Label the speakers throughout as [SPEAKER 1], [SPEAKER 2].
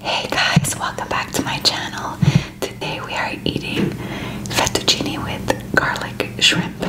[SPEAKER 1] Hey guys, welcome back to my channel. Today we are eating fettuccine with garlic shrimp.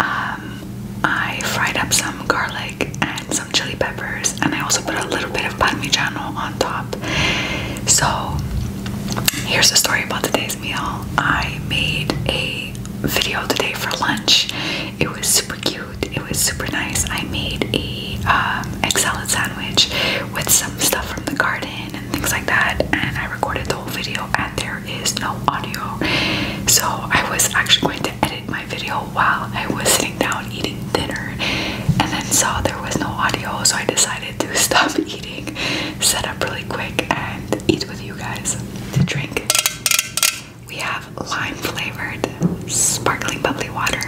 [SPEAKER 1] Um, I fried up some garlic and some chili peppers, and I also put a little bit of parmigiano on top. So, here's the story about today's meal. I made a video today for lunch. It was super cute. It was super nice. I made a um, egg salad sandwich with some stuff from the garden and things like that, and I recorded the whole video. And there is no audio, so I was actually going to edit my video while I was sitting down eating dinner, and then saw there was no audio, so I decided to stop eating, set up really quick, and eat with you guys to drink. We have lime flavored sparkling bubbly water.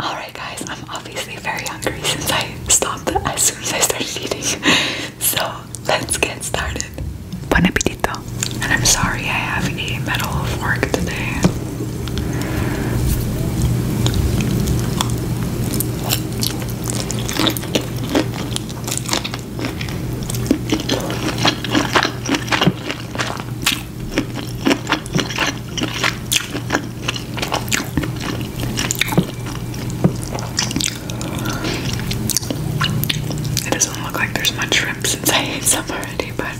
[SPEAKER 1] Alright, guys, I'm obviously very hungry since I stopped as soon as I started eating. So let's get started. Bon appetit! And I'm sorry I have a metal at of work today. It doesn't look like there's much shrimp since I ate summer but I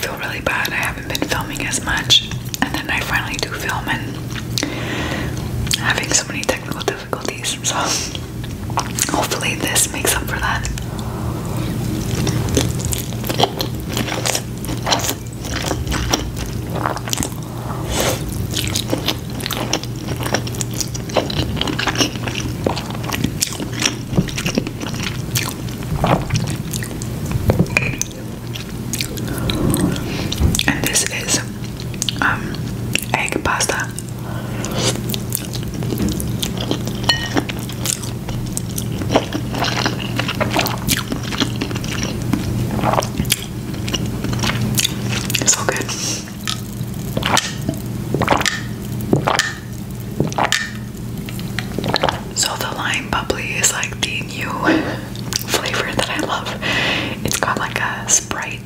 [SPEAKER 1] feel really bad. I haven't been filming as much, and then I finally do film and having so many technical difficulties. So hopefully this makes up for that. And this is um, egg pasta. It's so good. So the lime bubbly is like the new flavor that I love. It's got like a Sprite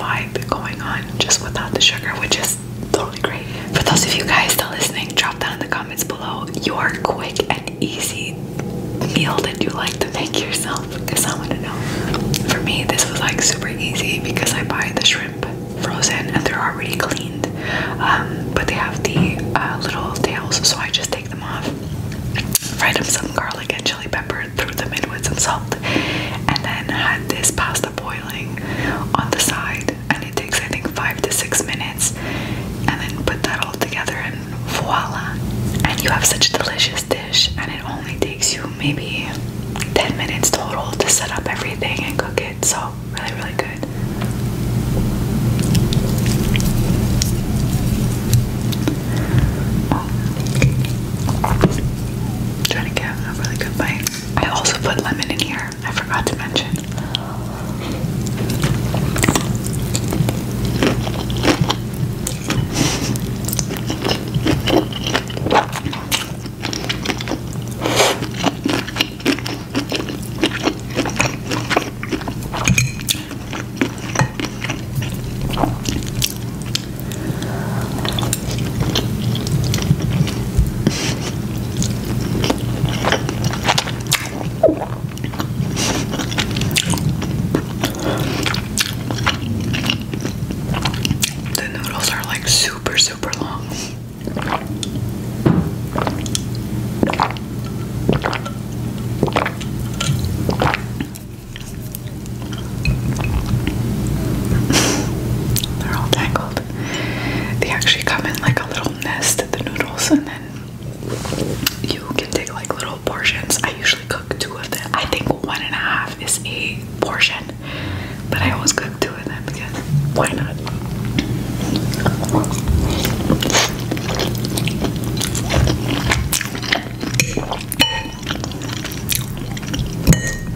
[SPEAKER 1] vibe going on just without the sugar, which is totally great. For those of you guys still listening, drop down in the comments below You're quick and easy meal that you like to make yourself? Because I want to know. For me, this was like super easy because I buy the shrimp frozen and they're already cleaned. Um, but they have the uh, little tails, so I just take them off, fry them some garlic and chili pepper, threw them in with some salt, and then had this pasta boiling on the side. And it takes I think five to six minutes, and then put that all together and voila and you have such a delicious dish and it only takes you maybe 10 minutes total to set up everything and cook it so really really good trying to get a really good bite I also put lemon in here I forgot to mention. The noodles are like super, super long. They're all tangled. They actually come in like a little nest the noodles and then you can take like little portions. I usually cook two of them. I think one and a half is a portion, but I always cook two of them because why not?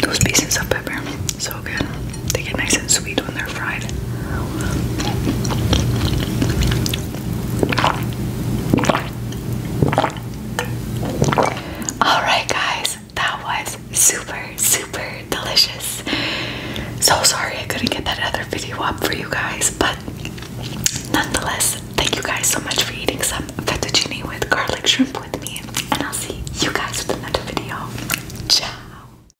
[SPEAKER 1] Those pieces of pepper, so good. They get nice and sweet when they're Alright, guys, that was super, super delicious. So sorry I couldn't get that other video up for you guys, but nonetheless, thank you guys so much for eating some fettuccine with garlic shrimp with me, and I'll see you guys with another video. Ciao!